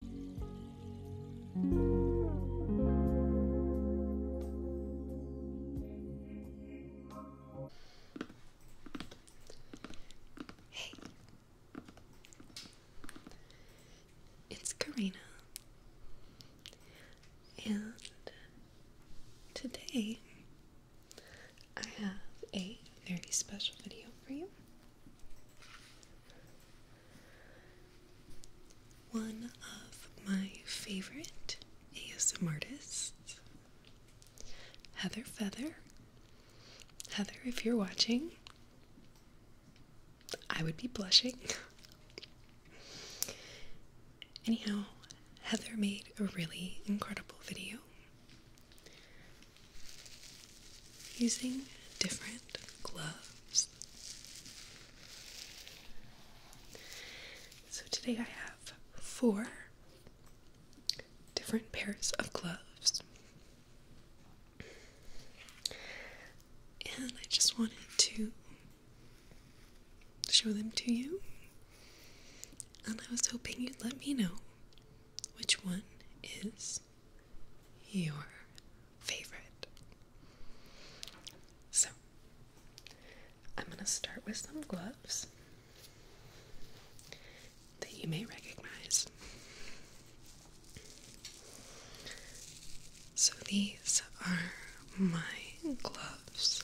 Hey, it's Karina, and today I have a very special video for you. One of my favorite ASM artists, Heather Feather. Heather, if you're watching, I would be blushing. Anyhow, Heather made a really incredible video using different gloves. So today I have four different pairs of gloves. And I just wanted to show them to you. And I was hoping you'd let me know which one is your favorite. So, I'm going to start with some gloves that you may recognize. So, these are my gloves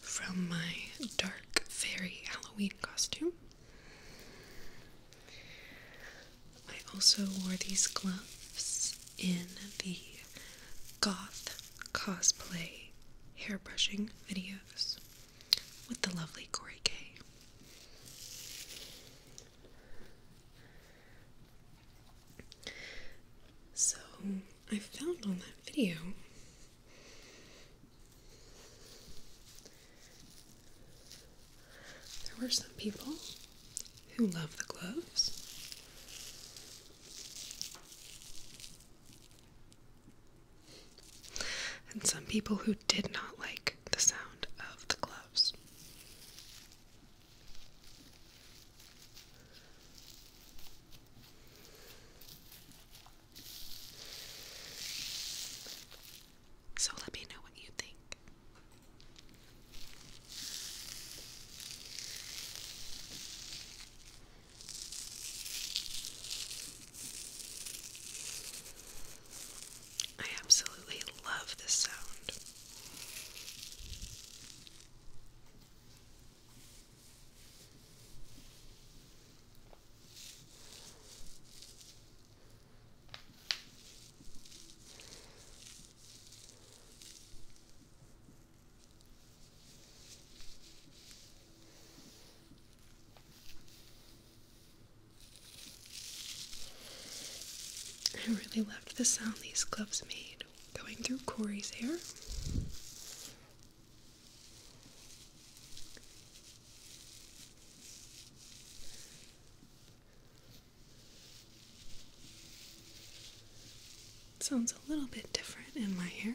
from my dark fairy Halloween costume. I also wore these gloves in the goth cosplay hairbrushing videos with the lovely Corey K. So I found on that video there were some people who love the gloves. And some people who did not like the sound of the gloves. So let me know what you think. I absolutely love this sound. I really loved the sound these gloves made going through Corey's hair sounds a little bit different in my hair.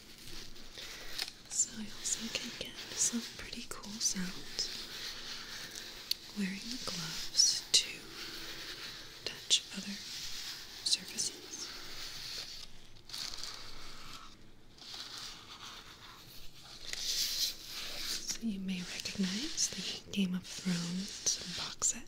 So you also can get some pretty cool sounds wearing the gloves to touch other surfaces. So you may recognize the Game of Thrones box set.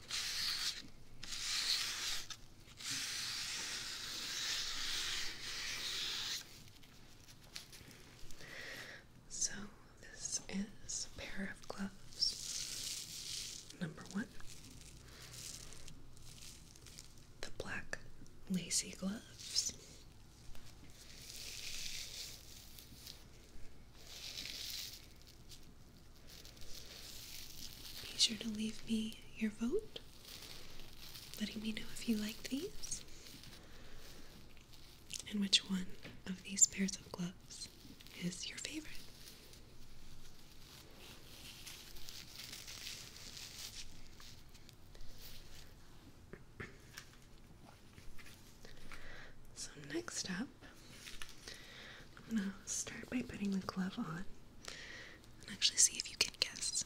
So, this is pair of gloves. Number one, the black lacy gloves. Be sure to leave me your vote, letting me know if you like these and which one of these pairs of gloves is your favorite. So next up, I'm gonna start by putting the glove on and actually see if you can guess.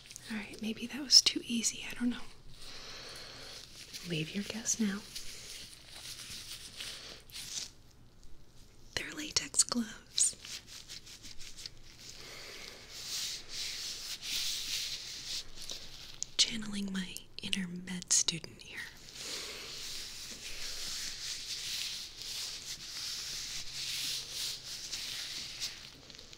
Alright, maybe that was too easy. I don't know. Leave your guess now. They're latex gloves. Channeling my inner med student here.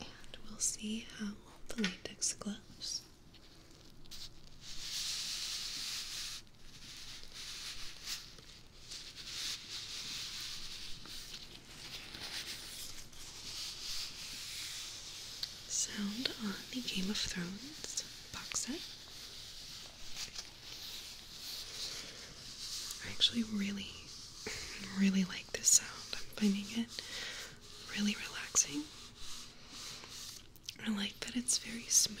And we'll see how the latex glows. Sound on the Game of Thrones box set. I actually really, really like this sound. I'm finding it really relaxing. I like that it's very smooth.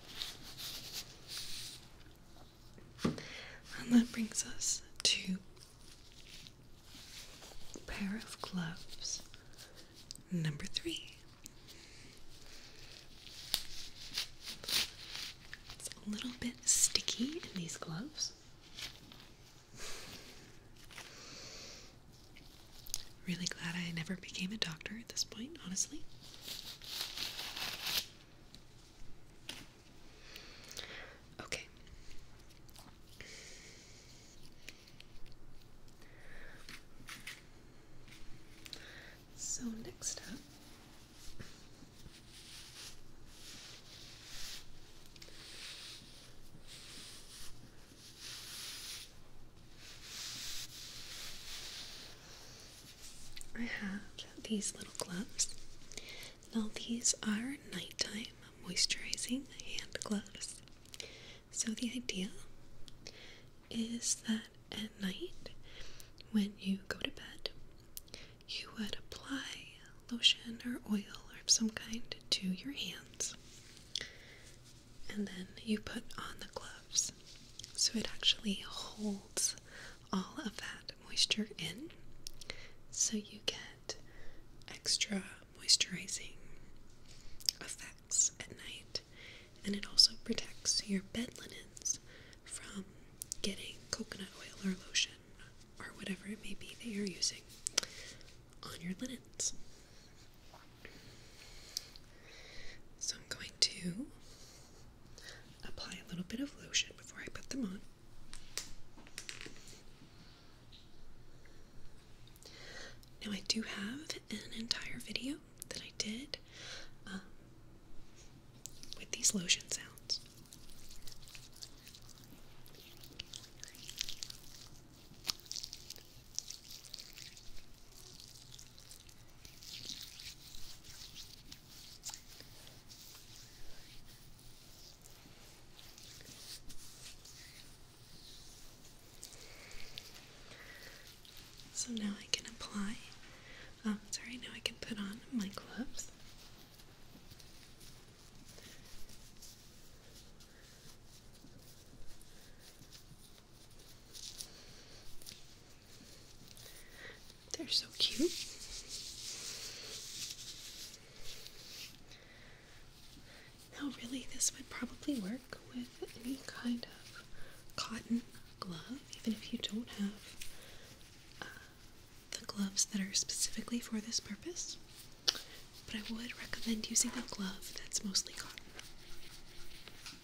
And that brings us to a pair of gloves number three. It's a little bit sticky in these gloves. Really glad I never became a doctor at this point, honestly. Okay. So, next up. I have these little gloves. Now, these are nighttime moisturizing hand gloves. So, the idea is that at night, when you go to bed, you would apply lotion or oil or of some kind to your hands and then you put on the gloves. So it actually holds all of that moisture in, so you get extra moisturizing effects at night, and it also protects your bed linens from getting coconut oil or lotion or whatever it may be that you're using on your linens. So I'm going to apply a little bit of lotion before I put them on. Now, I do have an entire video that I did um, with these lotion sounds. So now I can apply. Um, sorry, now I can put on my gloves. They're so cute. Now, really, this would probably work with any kind of cotton glove, even if you don't have uh, the gloves that are specifically for this purpose. But I would recommend using a glove that's mostly cotton.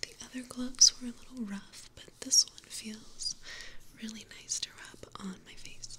The other gloves were a little rough, but this one feels really nice to rub on my face.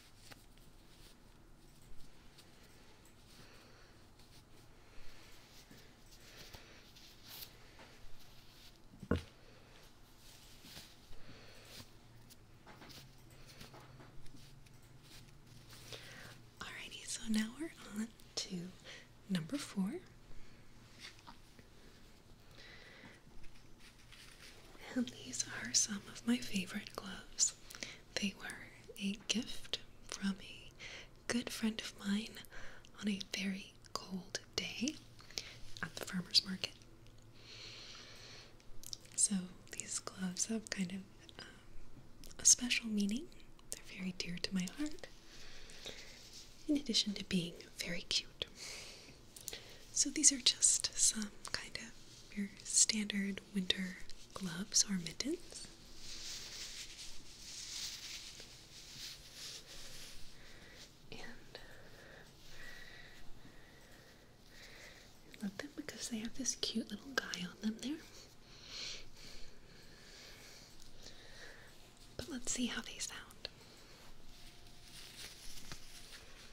Alrighty, so now we're on to number four. And these are some of my favorite gloves. They were a gift from a good friend of mine on a very cold day at the farmer's market. So these gloves have kind of um, a special meaning. They're very dear to my heart, in addition to being very cute. So these are just some kind of your standard winter gloves or mittens. And I love them because they have this cute little guy on them there. But let's see how they sound.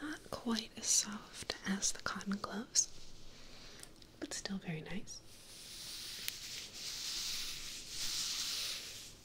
Not quite as soft as the cotton gloves, but still very nice.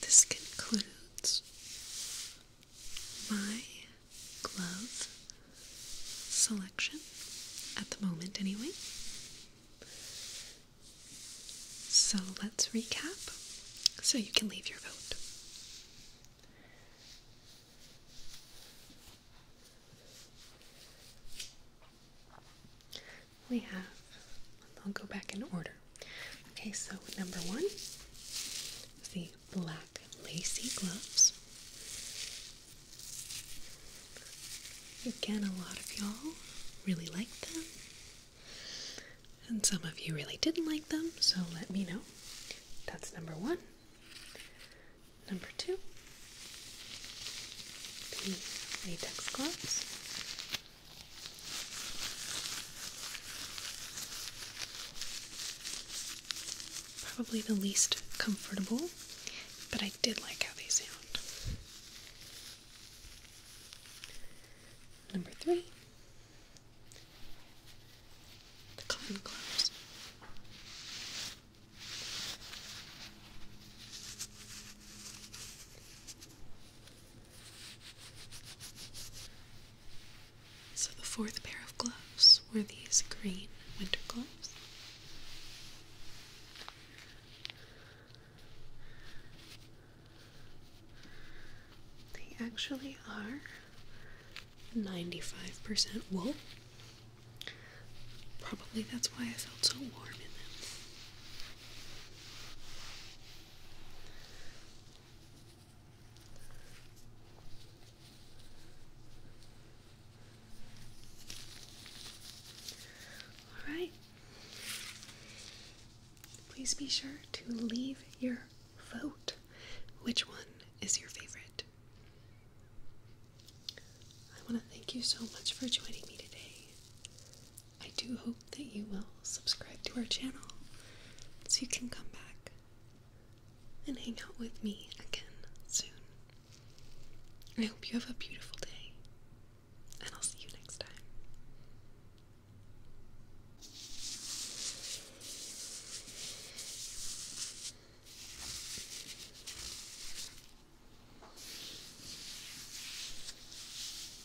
this concludes my glove selection at the moment, anyway. So let's recap so you can leave your vote. We have, I'll go back in order. Okay, so number one the black lacy gloves. Again, a lot of y'all really liked them, and some of you really didn't like them, so let me know. That's number one. Number two, the latex gloves. Probably the least comfortable, but I did like how they sound. Number three, the cotton gloves. So the fourth pair of gloves were these green winter gloves. They actually are 95% wool. Probably that's why I felt so warm in them. All right. Please be sure to leave your vote. Which one is your favorite? I want to thank you so much for joining me today. I do hope that you will subscribe to our channel so you can come back and hang out with me again soon. I hope you have a beautiful day, and I'll see you next time.